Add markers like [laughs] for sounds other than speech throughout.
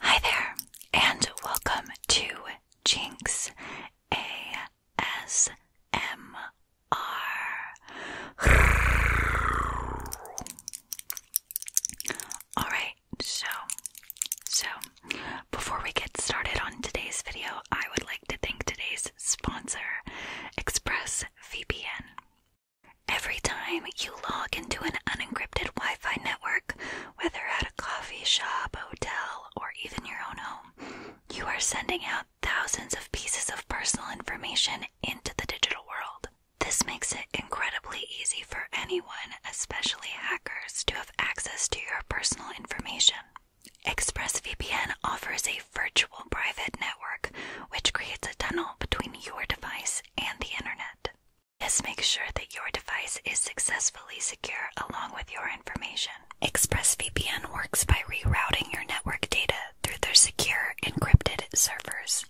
Hi there, and welcome to Jinx ASMR. Alright, so, so, before we get started on today's video, I would like to thank today's sponsor, ExpressVPN. Every time you log into an unencrypted Wi Fi network, whether at a coffee shop, hotel, or even your own home, you are sending out thousands of pieces of personal information into the digital world. This makes it incredibly easy for anyone, especially hackers, to have access to your personal information. ExpressVPN offers a virtual private network which creates a tunnel between your device and the internet. This makes sure that your device is successfully secure along with your information. ExpressVPN works by rerouting your network data through their secure, encrypted servers.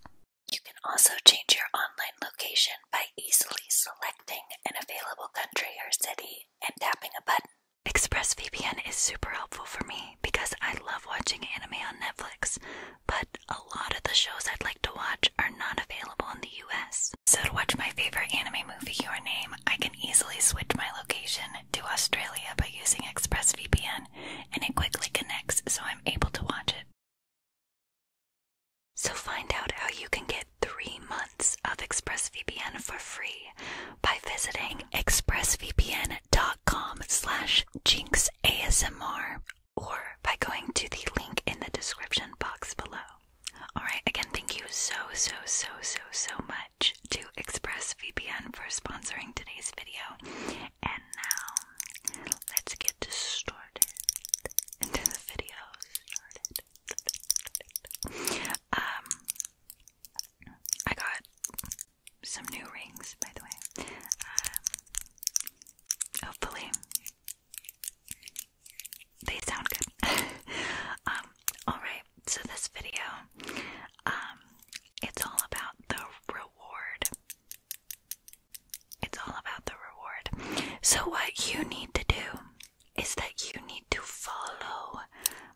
You can also change your online location by easily selecting an available country or city and tapping a button. ExpressVPN is super helpful for me because I love watching anime on Netflix, but a lot of the shows I'd like to watch are not available in the US. So, to watch my favorite anime movie, Your Name, I can easily switch my location to Australia by using ExpressVPN, and it quickly connects so I'm able to watch it. So, find out how you can get three months of ExpressVPN for free by visiting expressvpn dot com slash jinx ASMR or by going to the link in the description box below. Alright, again, thank you so, so, so, so, so much to ExpressVPN for sponsoring today's video. And now, let's get started into the video. Um, I got some new rings, by the way. Um, hopefully, they sound good. [laughs] Um, alright, so this video, um, it's all about the reward. It's all about the reward. So, what you need to do is that you need to follow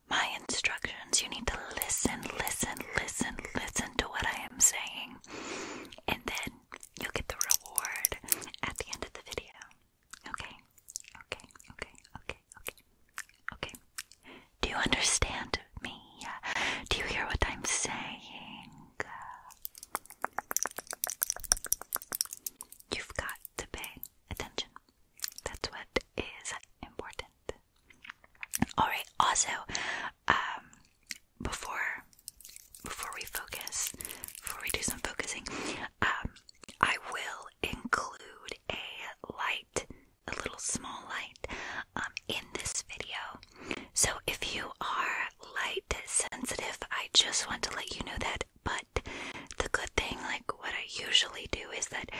my instructions. You need to listen, listen, listen, listen to what I am saying, and then you'll get the reward at the end of the video. Okay, okay, okay, okay, okay, okay. Do you understand me? Do you hear what I'm saying? You've got to pay attention. That's what is important. All right. Also, um, before before we focus, before we do some focusing, um, I will include a light, a little small light, um, in this video. So if you are light sensitive, I just want to let you know that. But the good thing, like what I usually do, is that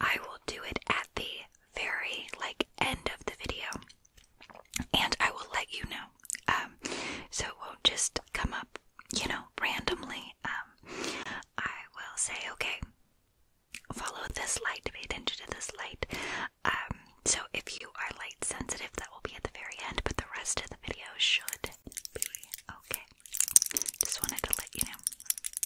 I will do it at the very like end of the video and I will let you know um, so it won't just come up you know randomly um, I will say okay follow this light pay attention to this light um, so if you are light sensitive that will be at the very end but the rest of the video should be okay just wanted to let you know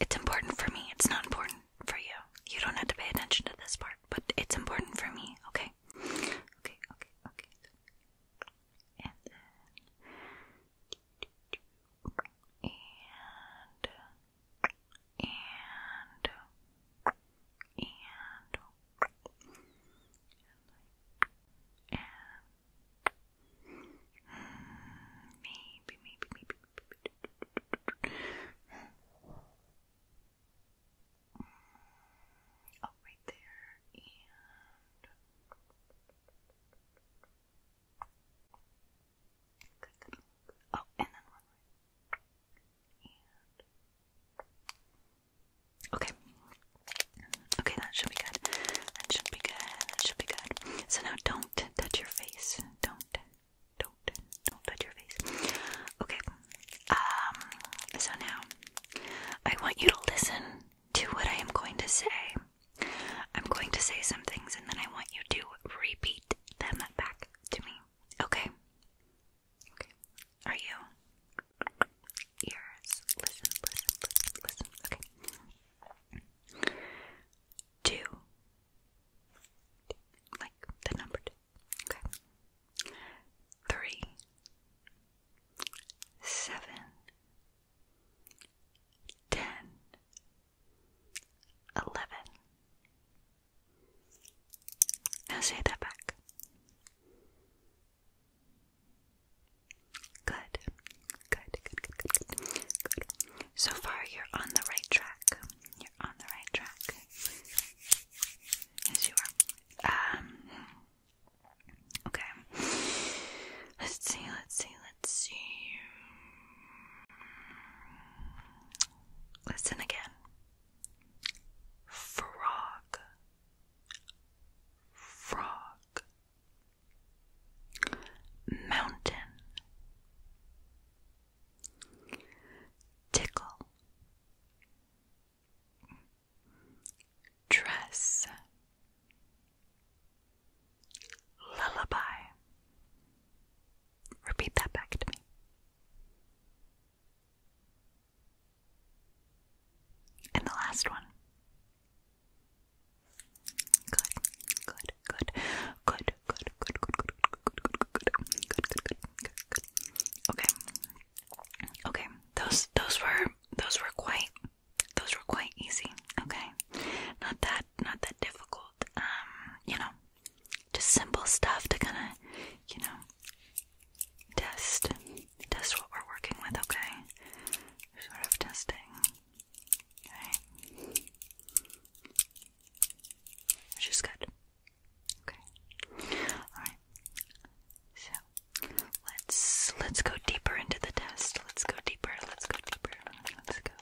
It's important for me. It's not important for you. You don't have to pay attention to this part, but it's important for me, okay? Okay, okay, okay. And then. And. And. And. And. Maybe, maybe, maybe. Oh, right there. And. Oh, and then one more. Okay. Okay, that should be good. That should be good. That should be good. So now don't touch your face. Don't, don't, don't touch your face. Okay. Um. So now, I want you to listen to what I am going to say. I'm going to say some things, and then I want you to repeat them back to me. Okay. Okay. Are you? Ears. Listen, listen, listen, listen. Okay. Two. Like the number two. Okay. Three. Seven. Now say that back. Good. Good, good, good, good, good, So far, you're on the right track. You're on the right track. Yes, you are. Um. Okay. Let's see. Let's see. Let's see. Listen again. Frog. Frog mountain, tickle, dress, lullaby. Repeat that back to me. And the last one Good, good, good, good, good, good, good, good, good, good, good, good, good, good. Okay, okay. Those, those were, those were quite, those were quite easy. Okay, not that, not that difficult. Um, you know, just simple stuff to kind of, you know, test, test what we're working with. Okay, sort of testing. Okay. Which is good. Okay. Alright. So let's let's go deeper into the test. Let's go deeper. Let's go deeper. Let's go deeper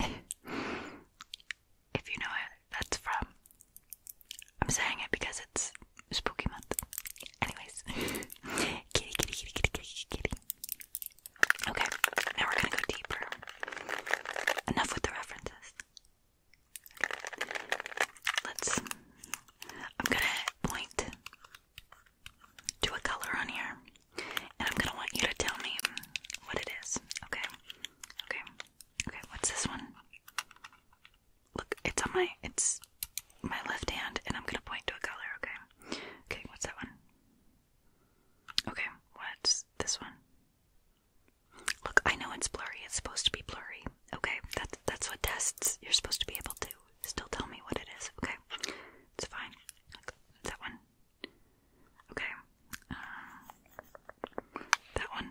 if you know where that's from. I'm saying it because it's spooky month. Anyways, [laughs] kitty, kitty, kitty, kitty, kitty, kitty. Okay, now we're gonna go deeper. Enough with the references. Let's. I'm gonna point to a color on here. And I'm gonna want you to tell me what it is. Okay. Okay. Okay, what's this one? Look, it's on my it's my left hand and I'm gonna point to a color, okay? Okay, what's that one? Okay, what's this one? Look, I know it's blurry, it's supposed to be blurry. Okay, that's that's what tests you're supposed to be able to still tell me what it is, okay? It's fine. Okay, Look, that one. Okay. Um, that one.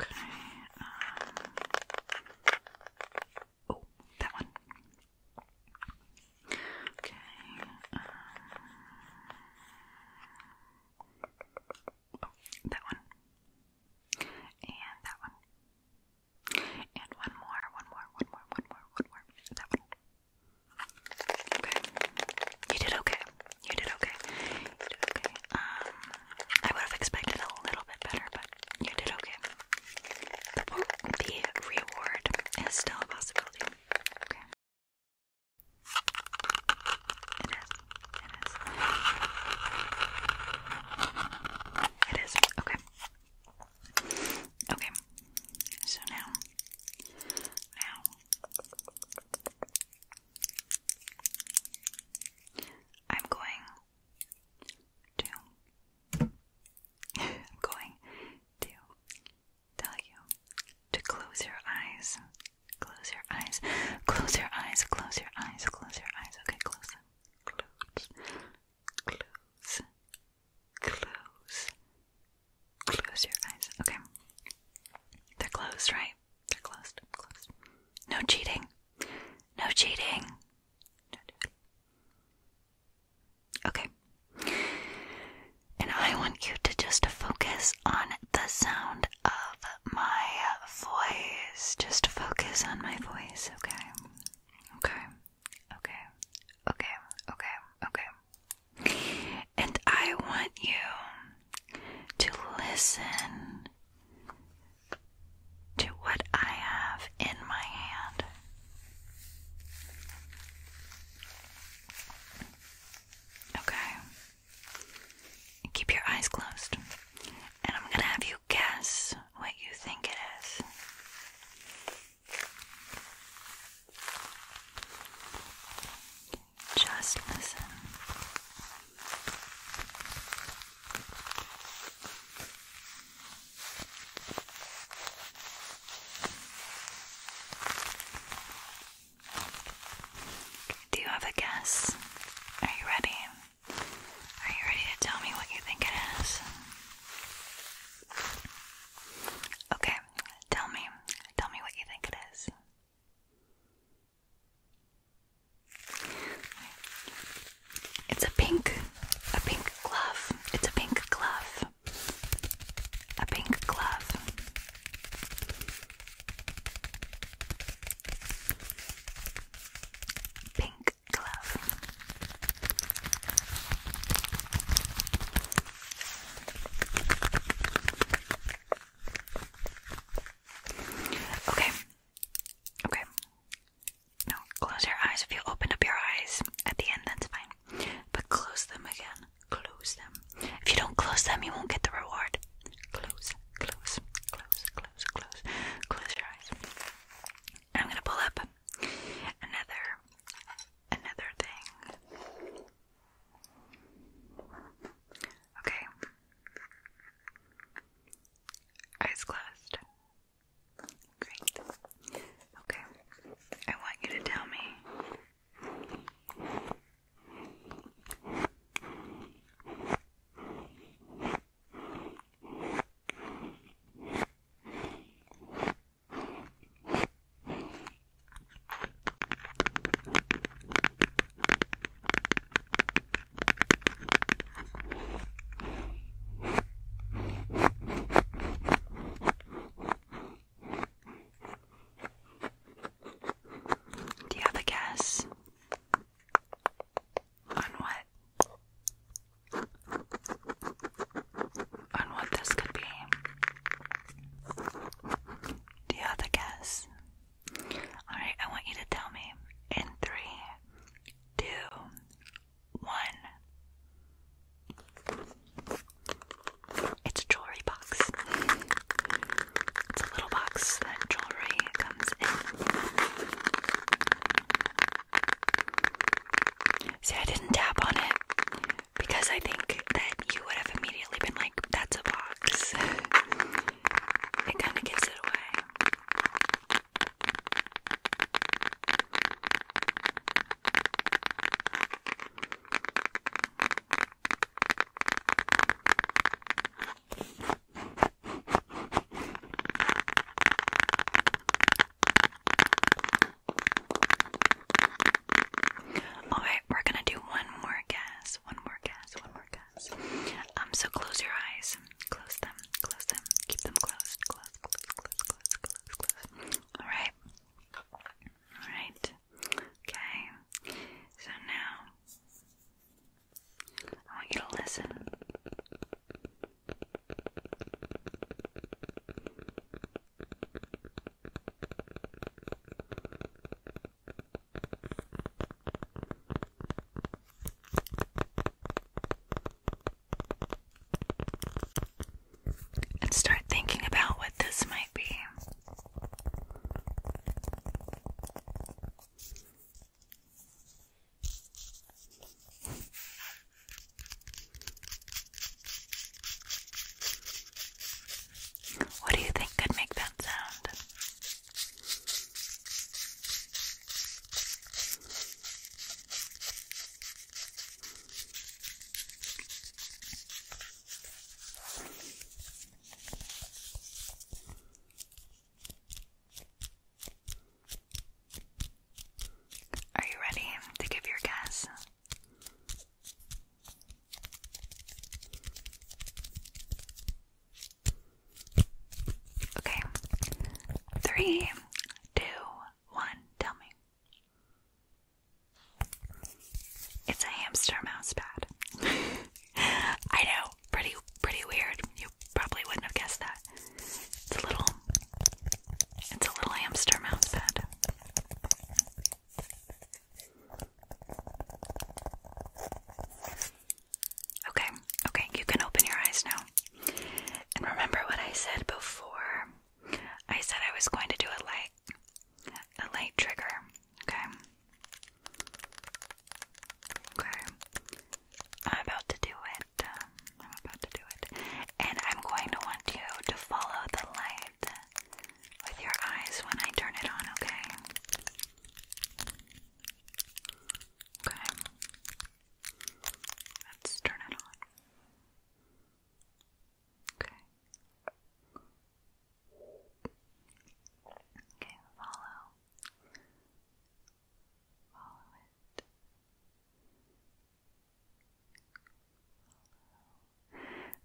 Okay. Um, oh, that one. Okay. Um, oh, that one. And that one. And one more, one more, one more, one more, one more. That one. Okay. You did okay. You did okay. You did okay. Um, I would have expected a little bit better, but you did okay. The, reward is still a possibility. Okay. It is. It is. It is. Okay. Okay, so now, now, I'm going to, [laughs] going to tell you to close your eyes, close your eyes, close your eyes, close your eyes, close your eyes, okay, close close, close, close, Close your eyes. Okay. They're closed, right? They're closed. Closed. No cheating. No cheating. Okay. And I want you to just focus on the sound of my voice. Just focus on my voice, okay? Okay. Okay. Okay. Okay. Okay. And I want you to listen to what I have in my hand. Okay. Keep your eyes closed. And I'm going to have you guess what you think it is. Just listen. Do you have a guess? Are you ready? Are you ready to tell me what you think it is? Okay, tell me. Tell me what you think it is. It's a pink, a pink glove. It's a pink glove. A pink glove. Pink glove. Okay. Okay. No, close your eyes. If you open up your eyes at the end, that's fine. But close them again. Close them. If you don't close them, you won't get the reward. Close, close, close, close, close. Close your eyes. I'm gonna pull up another another thing. Okay. Eyes closed. Great. Okay. I want you to tell me. Do you have a guess on what on what this could be. Do you have a guess? Alright, I want you to tell me in three, two, one. It's a jewelry box. It's a little box that jewelry comes in. See, I didn't tap on it because I think that you would have immediately been like, that's a box. [laughs] it kind of gives it away. Alright, we're gonna do one more guess. One more guess. One more guess. Um, so close your eyes. Close them. Close them. Keep them closed. Close, close, close, close, close, close. Alright. Alright. Okay. So now I want you to listen. And start thinking about what this might be. What do you think could make that sound? Are you ready to give your guess? Okay. Three, two, one, tell me. It's a hamster mouse pad. [laughs] I know, pretty pretty weird. You probably wouldn't have guessed that. It's a little it's a little hamster mouse pad. Okay, okay, you can open your eyes now. And remember what I said before? I said I was going to do a light a light trigger. Okay. Okay. I'm about to do it. I'm about to do it. And I'm going to want you to follow the light with your eyes when I turn it on, okay? Okay. Let's turn it on. Okay. Okay, follow. Follow it.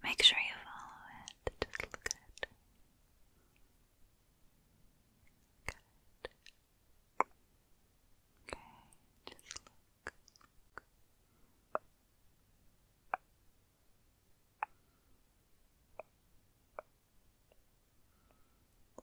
Make sure you follow it. Just look at it. Good. Okay, just look.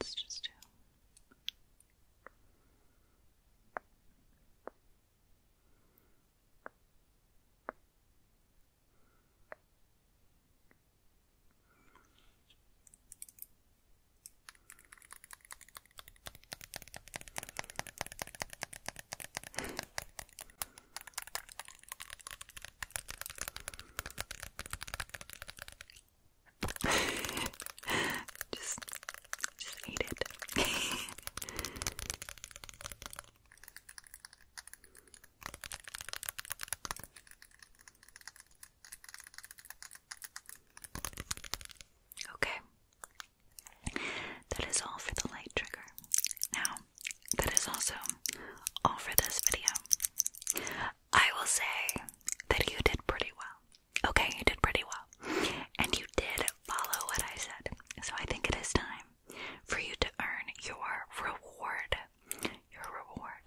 Let's just do. [laughs] just, just eat it. [laughs] Okay, that is all for the light trigger. Now, that is also all for this video. I will say that you did pretty well. Okay, you did pretty well. And you did follow what I said. So I think it is time for you to earn your reward. Your reward.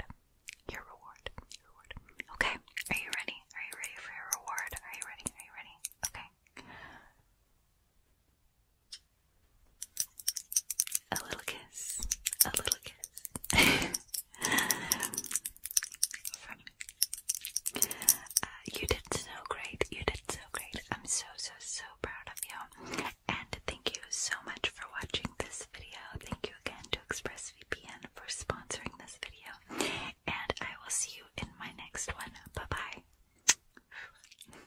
Your reward. Your reward. Okay, are you ready? Are you ready for your reward? Are you ready? Are you ready? Okay. A little kiss. A little kiss. [laughs] Uh, you did so great. You did so great. I'm so, so, so proud of you. And thank you so much for watching this video. Thank you again to ExpressVPN for sponsoring this video. And I will see you in my next one. Bye bye.